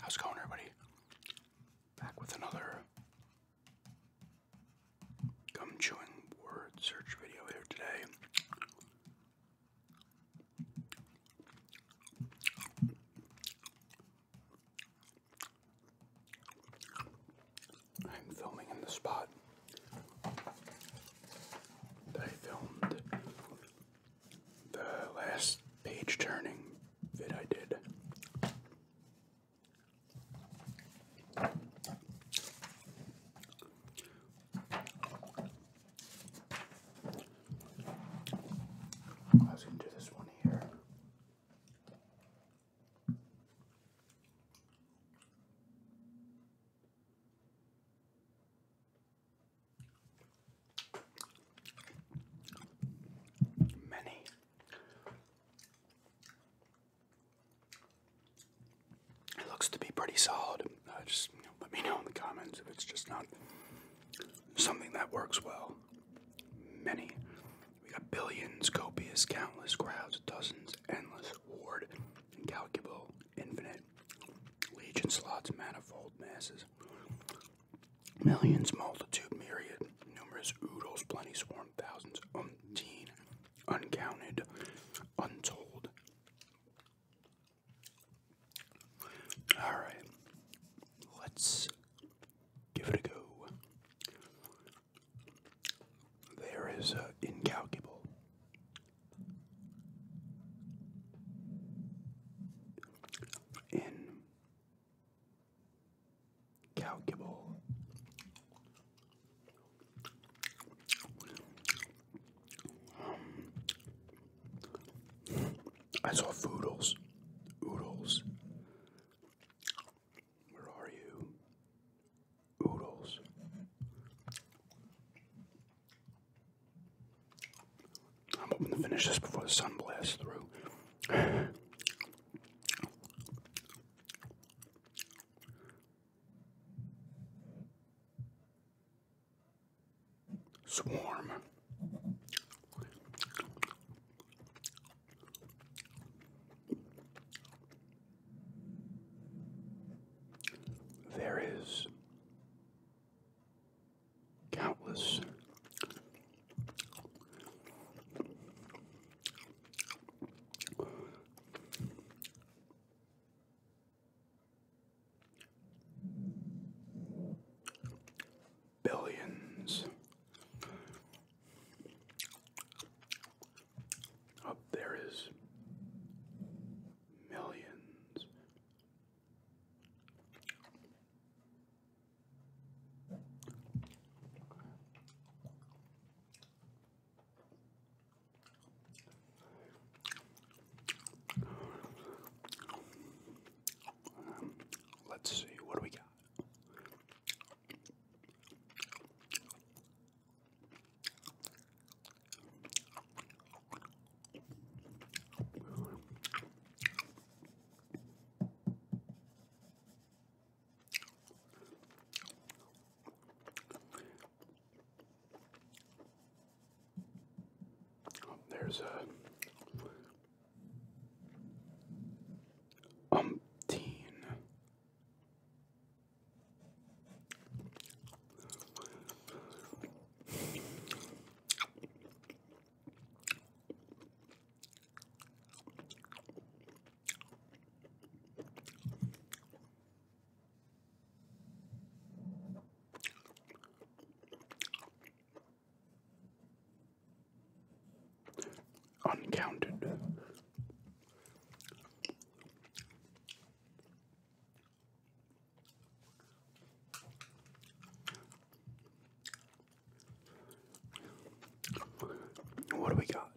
How's it going, everybody? Back with another gum chewing word search video here today. I'm filming in the spot that I filmed the last page turning vid I did. I was going to do this one here. Many. It looks to be pretty solid. Uh, just let me know in the comments if it's just not something that works well. Many. We got billions, copious, countless crowds, dozens, endless, ward, incalculable, infinite, legion, slots, manifold masses, millions, multitude, myriad, numerous, oodles, plenty, swarm, thousands, umpteen, uncounted, untold. All right, let's give it a go. There is uh, incalculable. Incalculable. Um, I saw foodles, oodles, where are you? Oodles. I'm hoping to finish this before the sun blasts through. Swarm. There is countless billions up there is millions. let's see, what do we got? There's a umpteen Uncounted what do we got?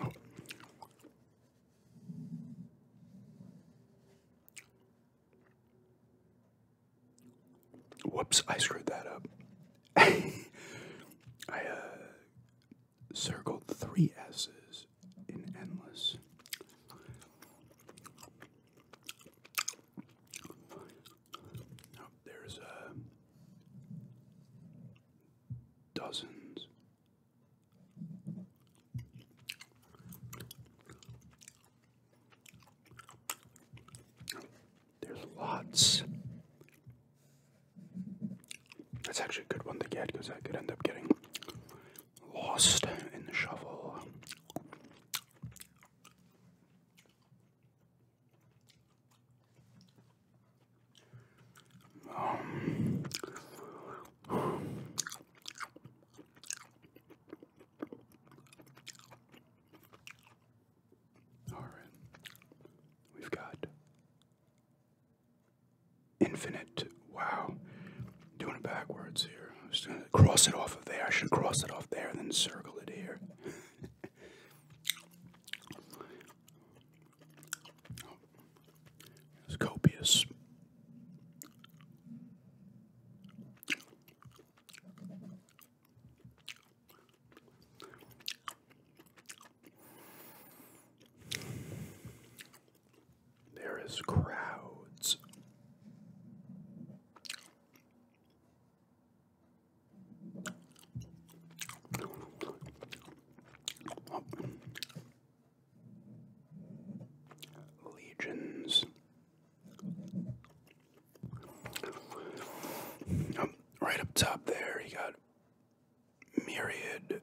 Oh. Whoops, I screwed that up. I uh, circled three S's in endless. there's a uh, dozens. There's lots. That's actually a good one to get because I could end up getting lost in the shovel. Um, all right, we've got infinite Wow. Doing it backwards here. I'm just gonna cross it off of there. I should cross it off there and then circle it here. it's copious. There is crowds. Legions. right up top there, you got myriad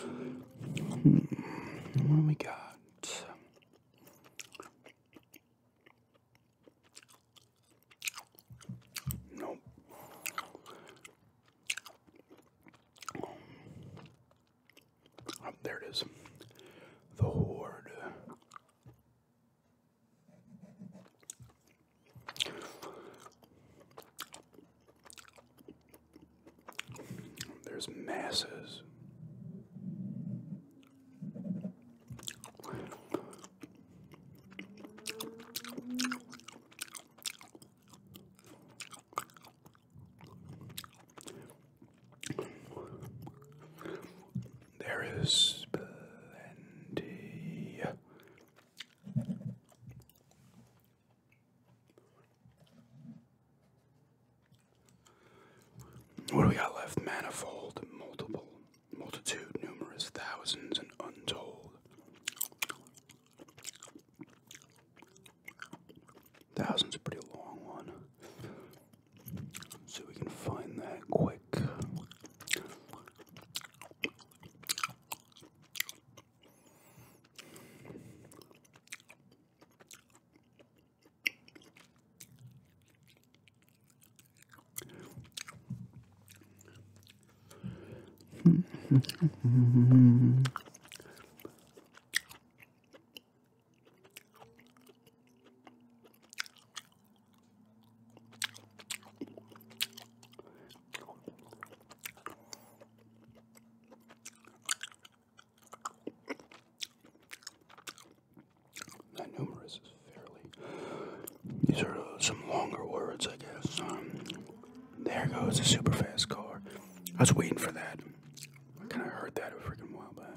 Hmm. What we got? Nope. Oh, there it is. The Horde. There's masses. There is plenty. What do we got left? Manifold, multiple, multitude, numerous, thousands, and untold. Thousands a pretty long one. So we can find that quick. That numerous is fairly. These are some longer words, I guess. Um, there goes a super fast car. I was waiting for that. I kind of heard that a freaking while back.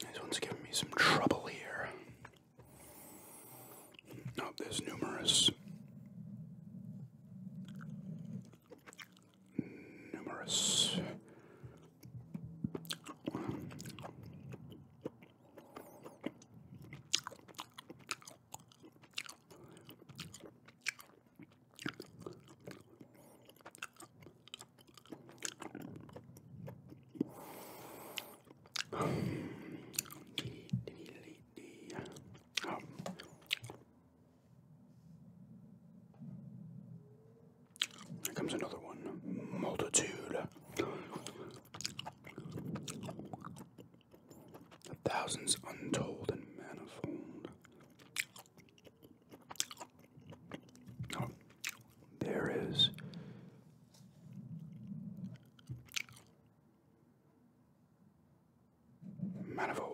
This one's giving me some trouble here. Oh, there's numerous, numerous here comes another one. Multitude. Thousands untold and manifold. Oh. There is manifold.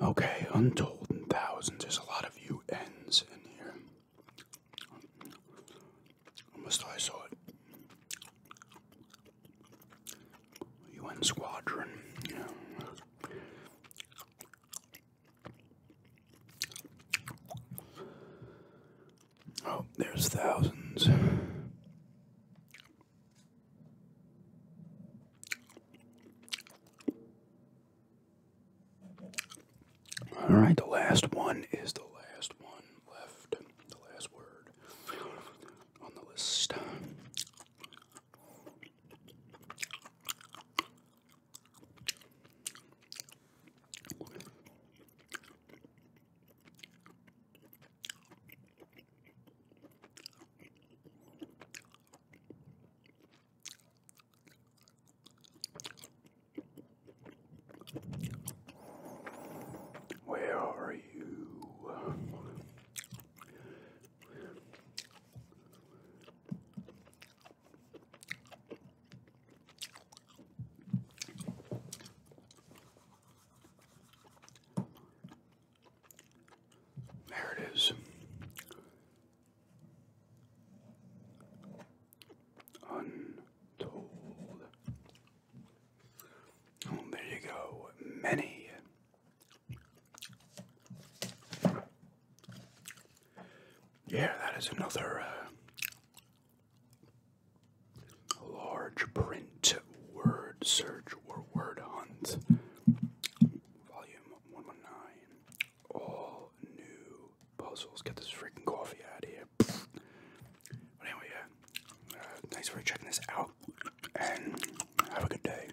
Okay, untold in thousands. There's a lot of U N's in here. Almost I saw it. UN Squadron. Oh, there's thousands. All right, the last one is the last one left, the last word on the list. Where are you? There it is. Untold. Oh, there you go. Many. Yeah, that is another uh, large print word search or word hunt. Volume 119. All new puzzles. Get this freaking coffee out of here. anyway, uh, thanks for checking this out and have a good day.